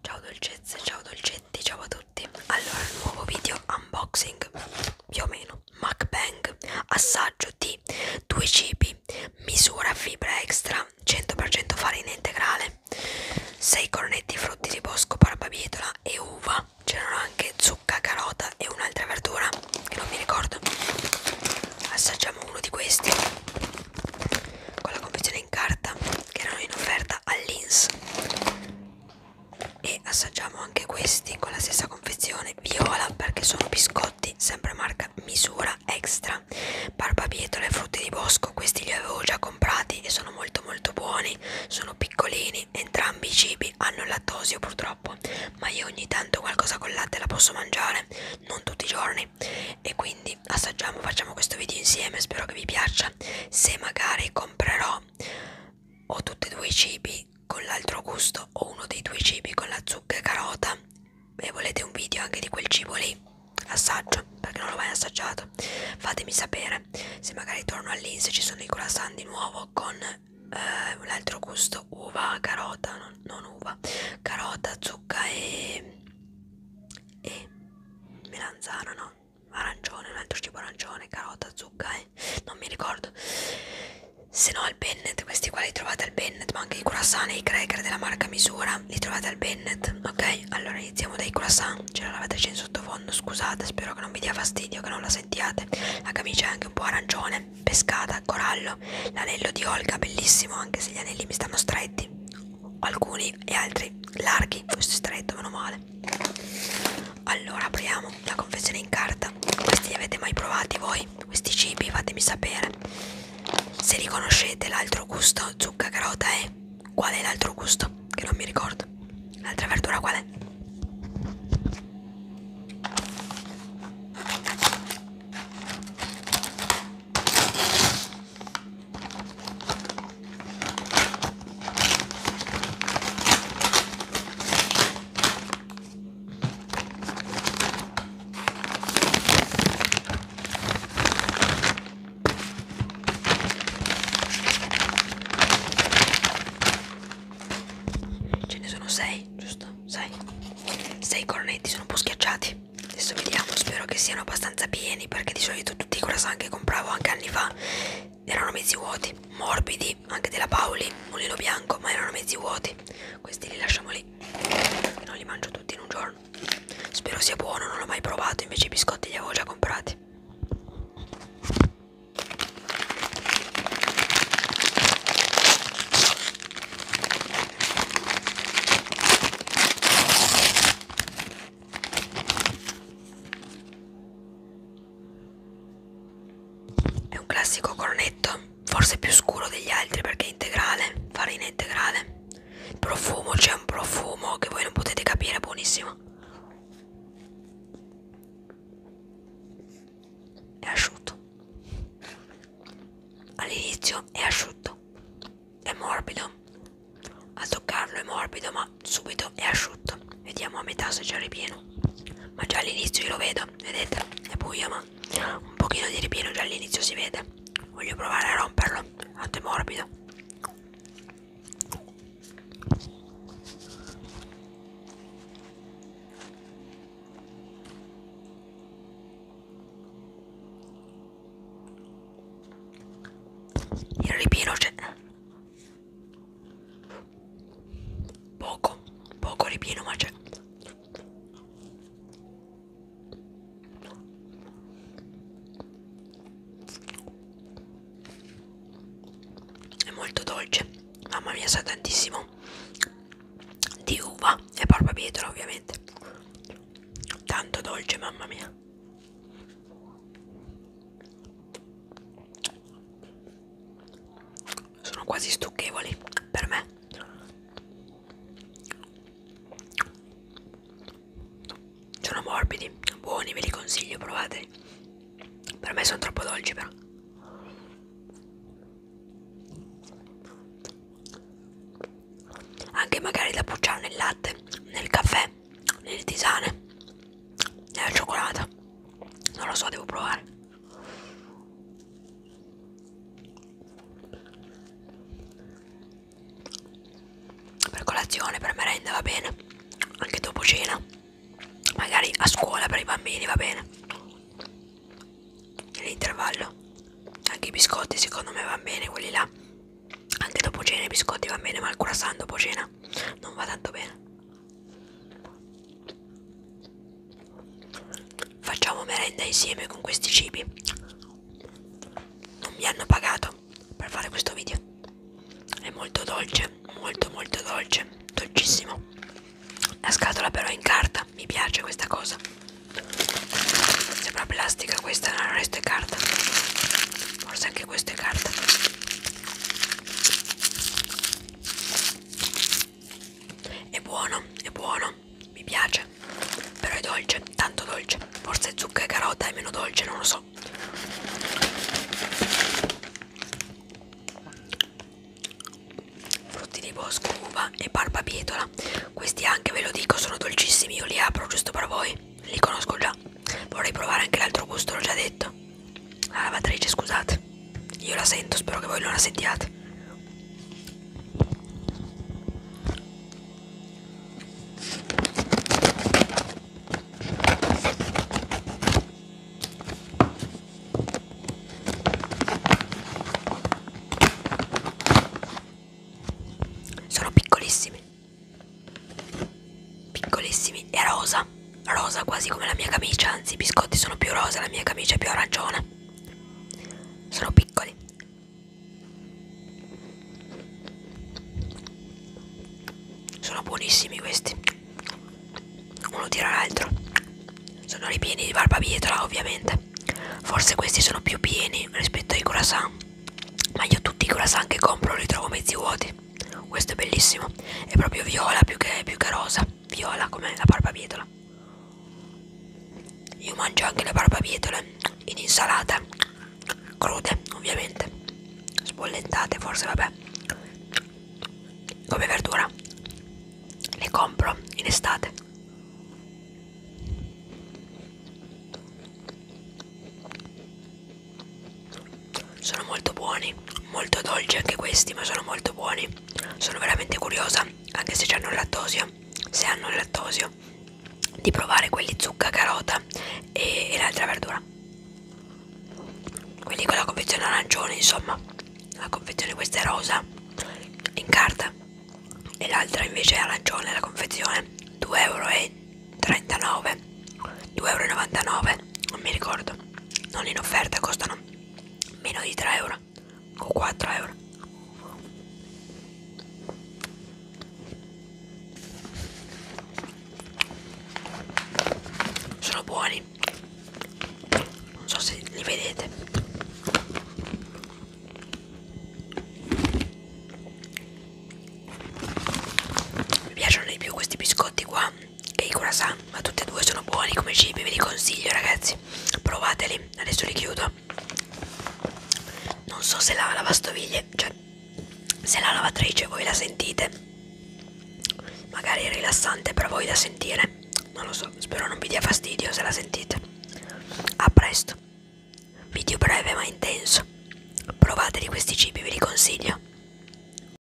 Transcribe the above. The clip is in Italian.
Ciao dolcezze, ciao dolcetti, ciao a tutti. Allora, nuovo video unboxing, più o meno, MacBang, assaggio di due cibi, misura fibra extra, 100% farina integrale, 6 cornetti frutti di bosco, barbabietola e uva. C'erano anche zucca, carota e un'altra verdura che non mi ricordo. Assaggiamo uno di questi con la confezione in carta che erano in offerta all'Ins. E assaggiamo anche questi con la stessa confezione viola perché sono biscotti, sempre marca misura extra. Barbabietola e frutti di bosco, questi li avevo già comprati e sono molto molto buoni cibi sono piccolini, entrambi i cibi hanno lattosio purtroppo, ma io ogni tanto qualcosa con latte la posso mangiare, non tutti i giorni, e quindi assaggiamo, facciamo questo video insieme, spero che vi piaccia, se magari comprerò o tutti e due i cibi con l'altro gusto o uno dei due cibi con la zucca e carota e volete un video anche di quel cibo lì L'assaggio perché non l'ho mai assaggiato. Fatemi sapere se magari torno all'Inse ci sono i croissant di nuovo con eh, un altro gusto uva, carota, non, non uva, carota, zucca e, e melanzana, no? Arancione, un altro cibo arancione, carota, zucca e non mi ricordo. Se no al Bennett, questi qua li trovate al Bennett, ma anche i croissant e i cracker della marca Misura li trovate al Bennett Kenneth, ok? Allora iniziamo dai croissant, c'è la lavatrice in sottofondo, scusate, spero che non vi dia fastidio, che non la sentiate. La camicia è anche un po' arancione, pescata, corallo, l'anello di Olga, bellissimo, anche se gli anelli mi stanno stretti, alcuni e altri larghi, questo è stretto, meno male. Allora apriamo la confezione in carta, questi li avete mai provati voi? Questi cibi fatemi sapere. Se riconoscete l'altro gusto, zucca carota è Qual è l'altro gusto? Che non mi ricordo. L'altra verdura qual è? Ce ne sono sei, giusto? Sei. Sei cornetti sono un po' schiacciati. Adesso vediamo, spero che siano abbastanza pieni perché di solito tutti i croissant che compravo anche anni fa erano mezzi vuoti, morbidi, anche della Paoli, mulino bianco, ma erano mezzi vuoti. Questi li lasciamo lì. Non li mangio tutti in un giorno. Spero sia buono, non l'ho mai provato, invece i biscotti li avevo già comprati. È un classico cornetto, forse più scuro degli altri perché è integrale, farina integrale. Il profumo, c'è un profumo che voi non potete capire, buonissimo. È asciutto. All'inizio è asciutto. È morbido. A toccarlo è morbido, ma subito è asciutto. Vediamo a metà se c'è ripieno. Ma già all'inizio io lo vedo, vedete? È buio, ma un pochino di ripieno già all'inizio si vede. Voglio provare a romperlo latte morbido il ripieno c'è poco poco ripieno ma c'è è molto dolce mamma mia sa tantissimo di uva e barbabietola ovviamente tanto dolce mamma mia sono quasi stucchevoli per me sono morbidi buoni ve li consiglio provateli per me sono troppo dolci però anche magari da pucciare nel latte nel caffè nelle tisane nella cioccolata non lo so devo provare per colazione, per merenda va bene, anche dopo cena, magari a scuola per i bambini va bene, nell'intervallo, anche i biscotti secondo me va bene quelli là, anche dopo cena i biscotti va bene, ma il croissant dopo cena non va tanto bene. Facciamo merenda insieme con questi cibi. Non mi hanno pagato per fare questo video. È molto dolce, molto molto dolce, dolcissimo. La scatola però è in carta, mi piace questa cosa. Sembra plastica questa, no, il resto è carta. Forse anche questo è carta. È buono, è buono mi piace, però è dolce, tanto dolce, forse zucca e carota è meno dolce, non lo so. Frutti di bosco, uva e barbabietola, questi anche ve lo dico sono dolcissimi, io li apro giusto per voi, li conosco già, vorrei provare anche l'altro gusto, l'ho già detto. La ah, lavatrice, scusate. Io la sento, spero che voi non la sentiate. Sono piccolissimi. Piccolissimi e rosa. Rosa quasi come la mia camicia, anzi i biscotti sono più rosa, la mia camicia è più arancione sono piccoli sono buonissimi questi uno tira l'altro sono ripieni di barbabietola ovviamente forse questi sono più pieni rispetto ai croissant ma io tutti i croissant che compro li trovo mezzi vuoti questo è bellissimo è proprio viola più che, più che rosa viola come la barbabietola io mangio anche le barbabietole in insalata, crude ovviamente, spollentate forse, vabbè, come verdura. Le compro in estate. Sono molto buoni, molto dolci anche questi, ma sono molto buoni sono veramente curiosa anche se hanno lattosio se hanno il lattosio di provare quelli zucca carota e, e l'altra verdura quelli con la confezione arancione insomma la confezione questa è rosa in carta e l'altra invece è arancione la confezione 2,39 euro 2,99 euro non mi ricordo non in offerta costano meno di 3 euro o 4 euro sono buoni non so se li vedete mi piacciono di più questi biscotti qua che i croissant ma tutti e due sono buoni come cibi ve li consiglio ragazzi provateli adesso li chiudo non so se la lavastoviglie cioè se la lavatrice voi la sentite magari è rilassante per voi da sentire non lo so spero non vi dia fastidio se la sentite a presto video breve ma intenso provateli questi cibi ve li consiglio